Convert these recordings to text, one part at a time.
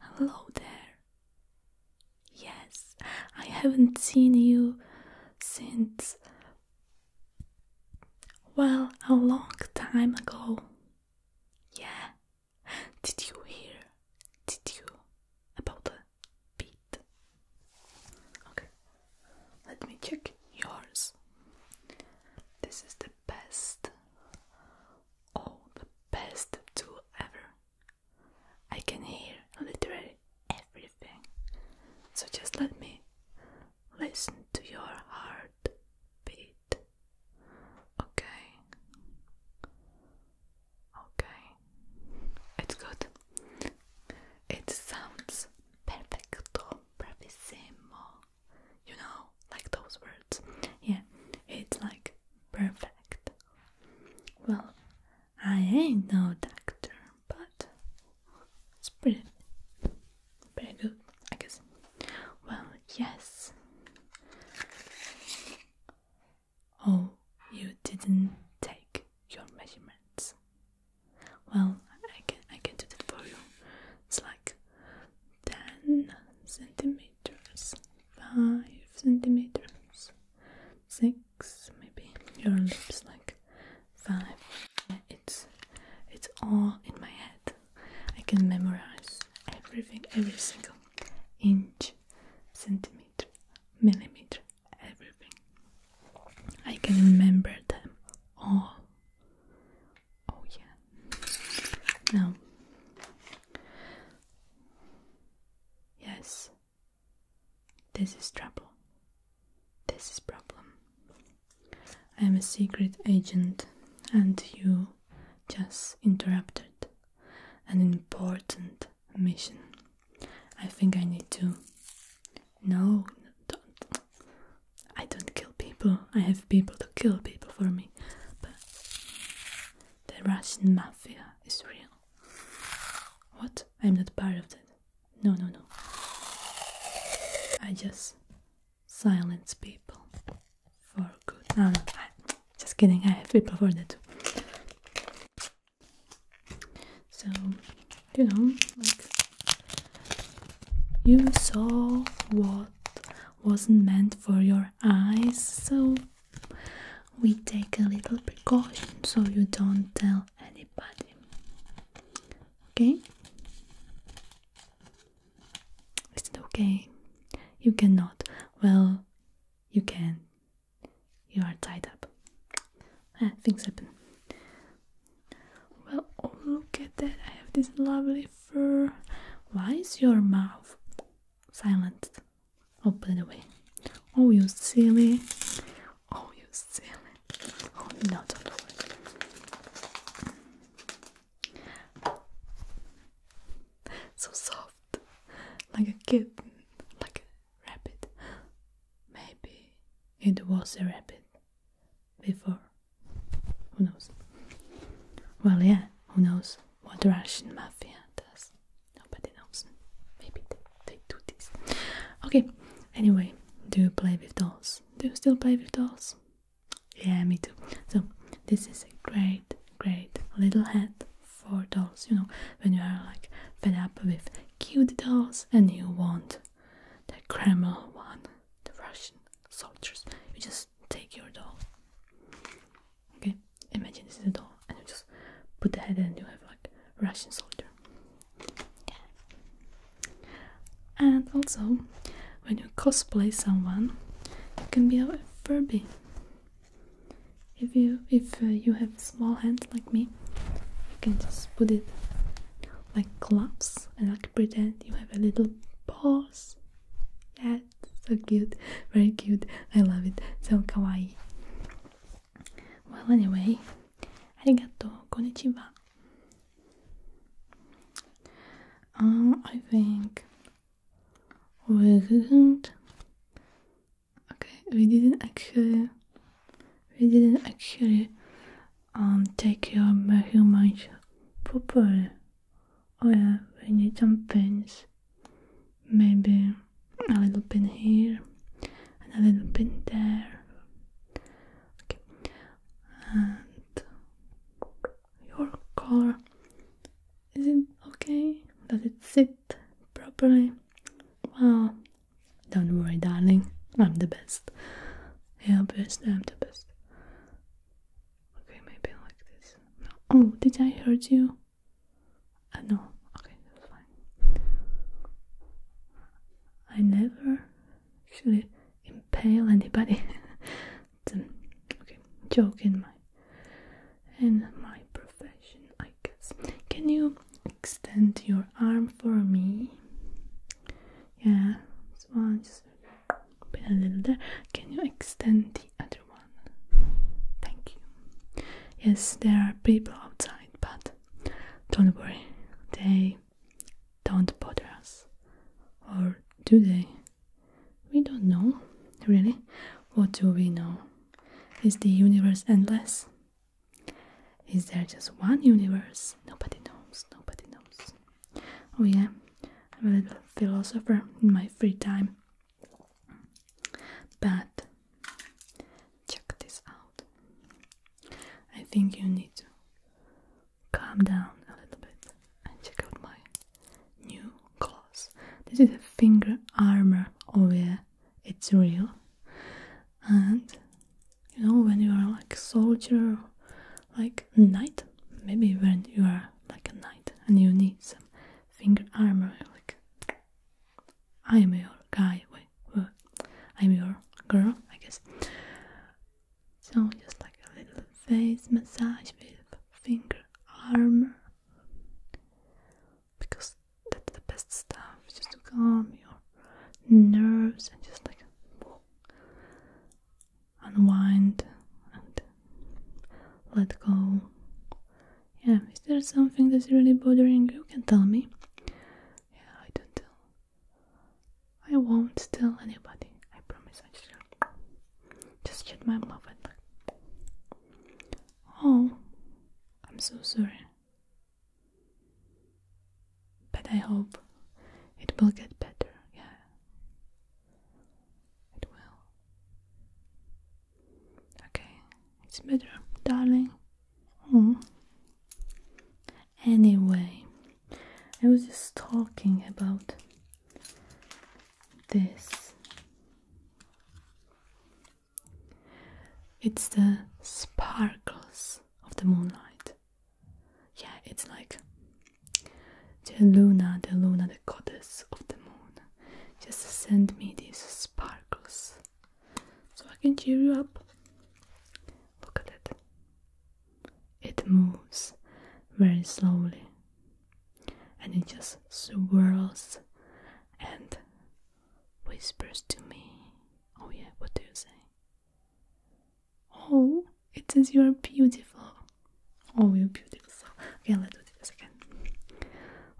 Hello there. Yes, I haven't seen you since. Well, a long time ago. Yeah. Did you hear? Did you? About the beat. Okay. Let me check yours. This is the best. Oh, the best two ever. I can hear literally everything. So just let me listen to your heart beat. Okay. Okay. It's good. It sounds perfecto, bravissimo. You know, like those words. Yeah, it's like perfect. Well, I ain't no doctor, but it's pretty, pretty good, I guess. Well, yes. Oh, you didn't take your measurements. Well, I can I can do that for you. It's like ten centimeters centimeters, five centimeters, six maybe. Your lips like five. It's it's all in my head. I can memorize everything, every single inch, centimeter, millimeter, everything. I can remember them all. Oh yeah. Now Yes, this is trouble. This is problem. I am a secret agent, and you just interrupted an important mission. I think I need to. No, don't. I don't kill people. I have people to kill people for me. The Russian mafia is real. What? I'm not part of that. No, no, no. I just silence people for good. No, no, I, just kidding. I have people for that too. So, you know, like you saw what wasn't meant for your eyes, so we take a little precaution so you don't tell anybody. Okay? Is it okay? You cannot. Well, you can. You are tied up. Ah, things happen. Well, oh, look at that. I have this lovely fur. Why is your mouth silent? Oh, by the way. Oh, you silly. Oh, you silly. Oh, no, don't worry. So soft. Like a kitten. Like a rabbit. Maybe it was a rabbit before. Who knows? Well, yeah, who knows what Russian mafia does. Nobody knows. Maybe they, do this. Okay, anyway, do you play with dolls? Do you still play with dolls? Yeah, me too. So, this is a great, great little hat for dolls. You know, when you are like fed up with cute dolls and you want the Kremlin one, the Russian soldiers, you just take your doll Okay, imagine this is a doll, and you just put the head, and you have like Russian soldier. And also, when you cosplay someone, you can be a Furby. If you if uh, you have small hands like me, you can just put it like gloves and like pretend you have a little paws. Yes, so cute, very cute. I love it. So kawaii. Well, anyway, I arigato, konnichiwa. Um, I think we didn't. Okay, we didn't actually. We didn't actually um take your measurements properly. Oh yeah, we need some pins maybe a little pin here and a little pin there. Okay, and your color is it okay? Does it sit properly? Well, don't worry, darling, I'm the best. Yeah, best, I'm the best. Okay, maybe like this. Oh, did I hurt you? I uh, know. okay, that's fine. I never actually impale anybody. it's um, okay, joke in my in my profession, I guess. Can you extend your arm for me? Yeah, just a little bit. Can you extend the Thank you. Yes, there are people outside, but don't worry, they don't bother us. Or do they? We don't know, really. What do we know? Is the universe endless? Is there just one universe? Nobody knows, nobody knows. Oh, yeah, I'm a little philosopher in my free time. But check this out. I think you need to calm down a little bit and check out my new claws. This is a finger armor over it's real. And you know when you are like soldier like knight, maybe when you are like a knight and you need some finger armor like I'm your guy, wait, I'm your girl, I guess. So just like a little face massage with finger armor, because that's the best stuff, just to calm your nerves and just like unwind and let go yeah, is there something that's really bothering you? Can tell me. Yeah, I don't tell. I won't tell anybody. I promise. I just shut my mouth and. Oh, I'm so sorry. But I hope it will get better. Yeah, it will. Okay, it's better, darling. Mm. Anyway, I was just talking about this. It's the sparkles of the moonlight. Yeah, it's like the Luna, the Luna, the goddess of the moon, just send me these sparkles so I can cheer you up. Look at it. It moves very slowly and it just swirls and whispers to me. Oh, yeah, what do you say? Oh, it says you are beautiful. Oh, you're beautiful. Okay, let's do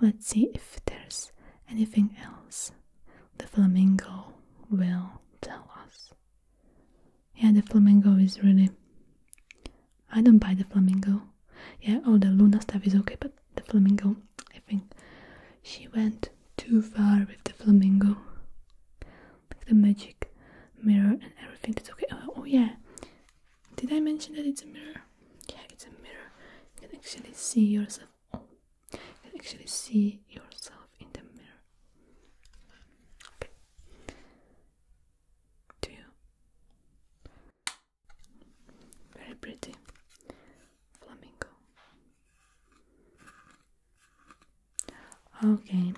Let's see if there's anything else the flamingo will tell us. Yeah, the flamingo is really. I don't buy the flamingo. Yeah, all oh, the Luna stuff is okay, but the flamingo, I think she went too far with the flamingo. Like the magic mirror and everything, that's okay. oh, oh yeah. Did I mention that it's a mirror? yeah it's a mirror you can actually see yourself oh, you can actually see yourself in the mirror okay do you very pretty flamingo okay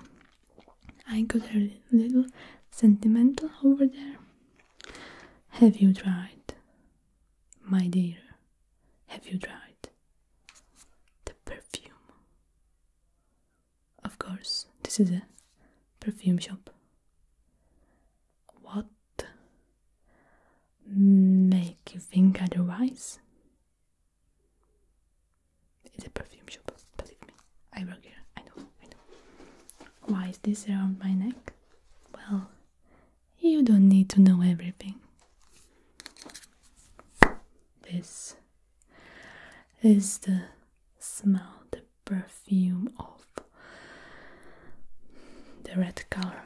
I got a little sentimental over there have you tried my dear, have you tried the perfume? Of course, this is a perfume shop. What make you think otherwise? It's a perfume shop, believe me. I work here, I know, I know. Why is this around my neck? Well, you don't need to know everything. This is the smell, the perfume of the red color,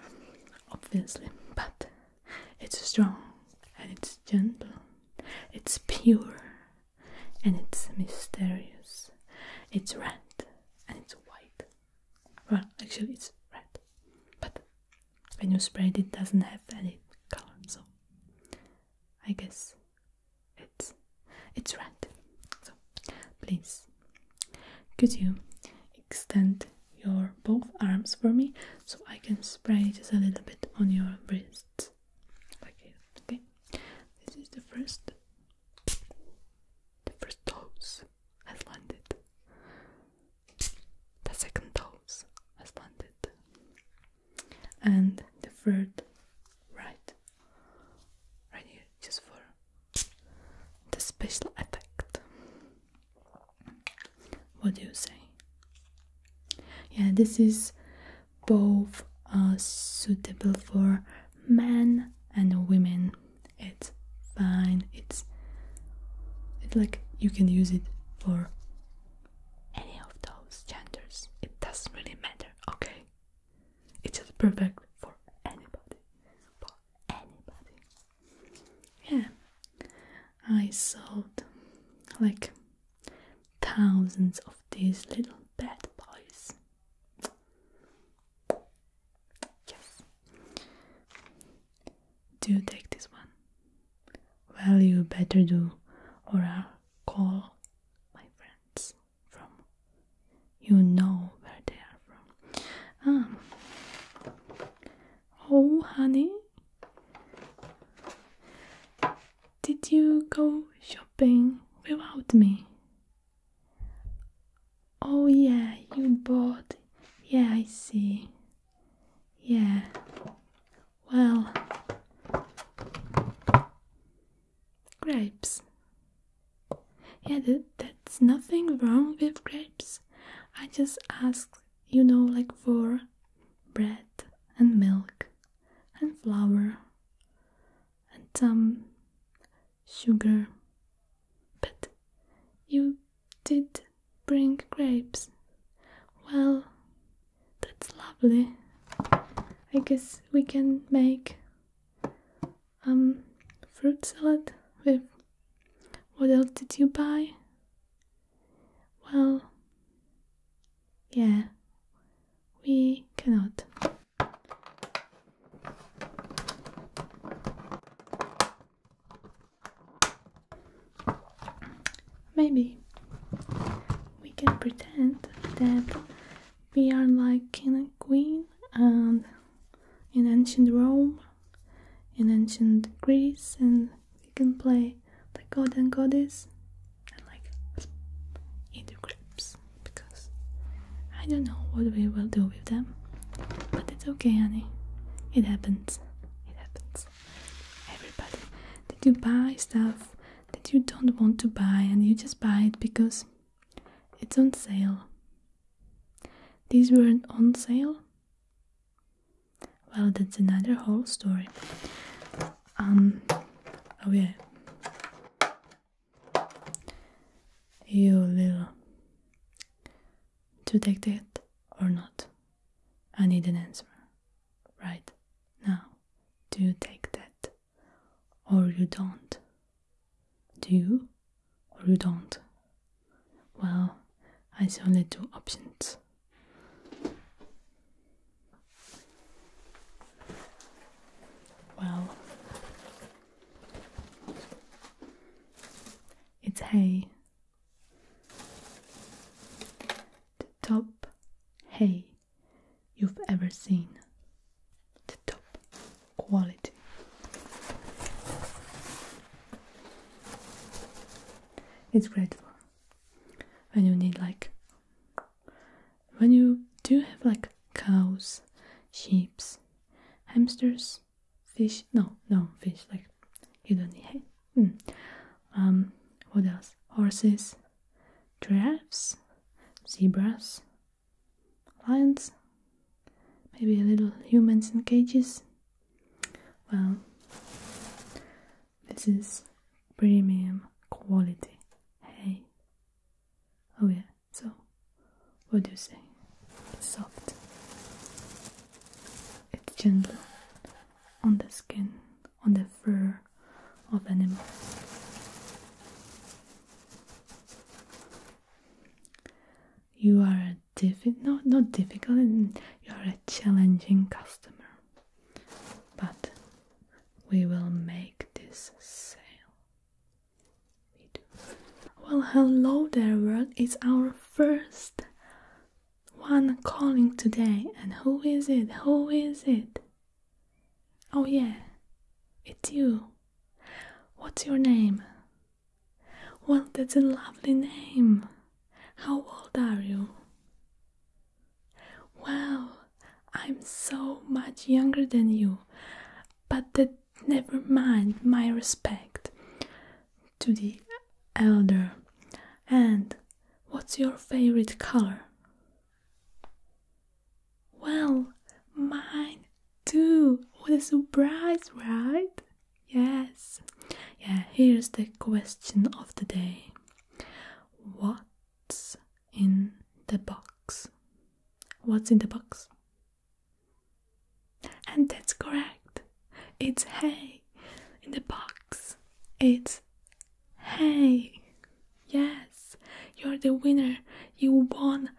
obviously, but it's strong and it's gentle, it's pure and it's mysterious, it's red and it's white. Well, actually it's red, but when you spray it, doesn't have any color, so I guess it's it's red. So please, could you extend your both arms for me so I can spray just a little bit on your wrists, like okay. This is the first, the first dose has landed. The second dose has landed. And the third right. Right here, just for the special effect. What do you say? Yeah, this is both uh, suitable for men and women it's fine it's it's like you can use it for any of those genders it doesn't really matter okay it's just perfect for anybody for anybody yeah i sold like thousands of these little bad boys Yes. Do you take this one? Well, you better do, or I'll call my friends from. You know where they are from. Ah. Oh, honey. Did you go shopping without me? Oh, yeah, you bought. Yeah, I see. Yeah. Well, grapes. Yeah, th that's nothing wrong with grapes. I just ask, you know, like for bread and milk and flour and some sugar. But you did bring grapes. Well, that's lovely. I guess we can make um fruit salad with what else did you buy? Well, yeah, we cannot. Maybe we can pretend that we are like king and queen and in ancient Rome, in ancient Greece, and we can play the god and goddess and like eat the grapes because I don't know what we will do them. But it's okay, honey. It happens. It happens. Everybody. Did you buy stuff that you don't want to buy and you just buy it because it's on sale? These weren't on sale? Well, that's another whole story. Um, oh yeah. You little to take that or not? I need an answer. Right now, do you take that or you don't? Do you or you don't? Well, I see only two options. Well, it's hay. The top hay you've ever seen. The top quality. It's great for when you need like when you do have like cows, sheep, hamsters, fish. No, no fish. Like you don't need hay. Hmm. Um, what else? Horses, giraffes, zebras, lions, maybe a little humans in cages. Well, this is premium quality Hey. Oh yeah. So what do you say? It's soft. It's gentle on the skin, on the fur of animals. You are a diffi- not difficult, mm, you are a challenging customer. But we will make this sale. We well, hello there, world. It's our first one calling today. And who is it? Who is it? Oh, yeah, it's you. What's your name? Well, that's a lovely name. How old are you? Well, I'm so much younger than you. But never mind my respect to the elder. And what's your favorite color? Well, mine too. What a surprise, right? Yes. Yeah, here's the question of the day. What's in the box? What's in the box? And that's correct. It's hay in the box. It's hay. Yes, you're the winner. You won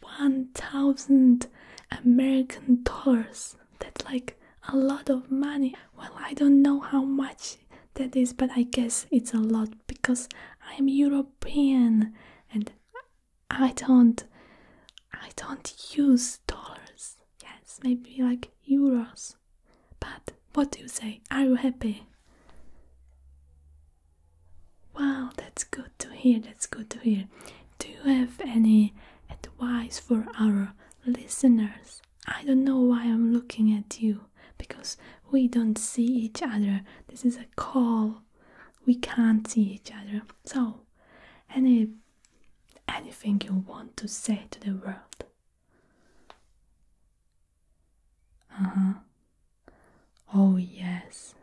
1000 American dollars. That's like a lot of money. Well, I don't know how much that is, but I guess it's a lot because I'm European and I don't I don't use dollars. Yes, maybe like euros. But what do you say? Are you happy? Wow, that's good to hear. That's good to hear. Do you have any advice for our listeners? I don't know why I'm looking at you because we don't see each other. This is a call. We can't see each other. So, any anything you want to say to the world. Uh huh. Oh, yes,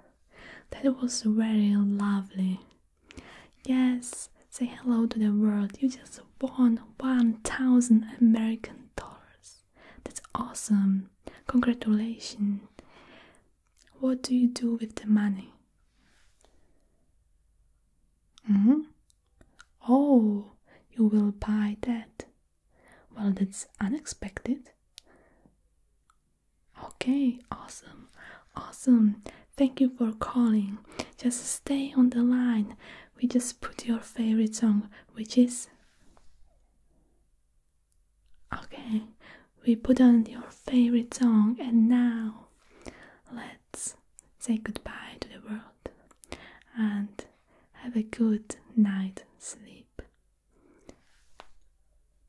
that was very lovely. Yes, say hello to the world. You just won 1000 American dollars. That's awesome. Congratulations. What do you do with the money? hmm. Oh, you will buy that. Well, that's unexpected. Okay, awesome, awesome. Thank you for calling. Just stay on the line. We just put your favorite song, which is. Okay, we put on your favorite song, and now let's say goodbye to the world and have a good night sleep.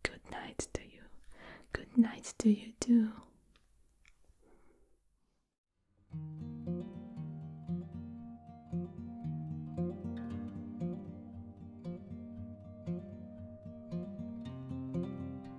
Good night to you. Good night to you too.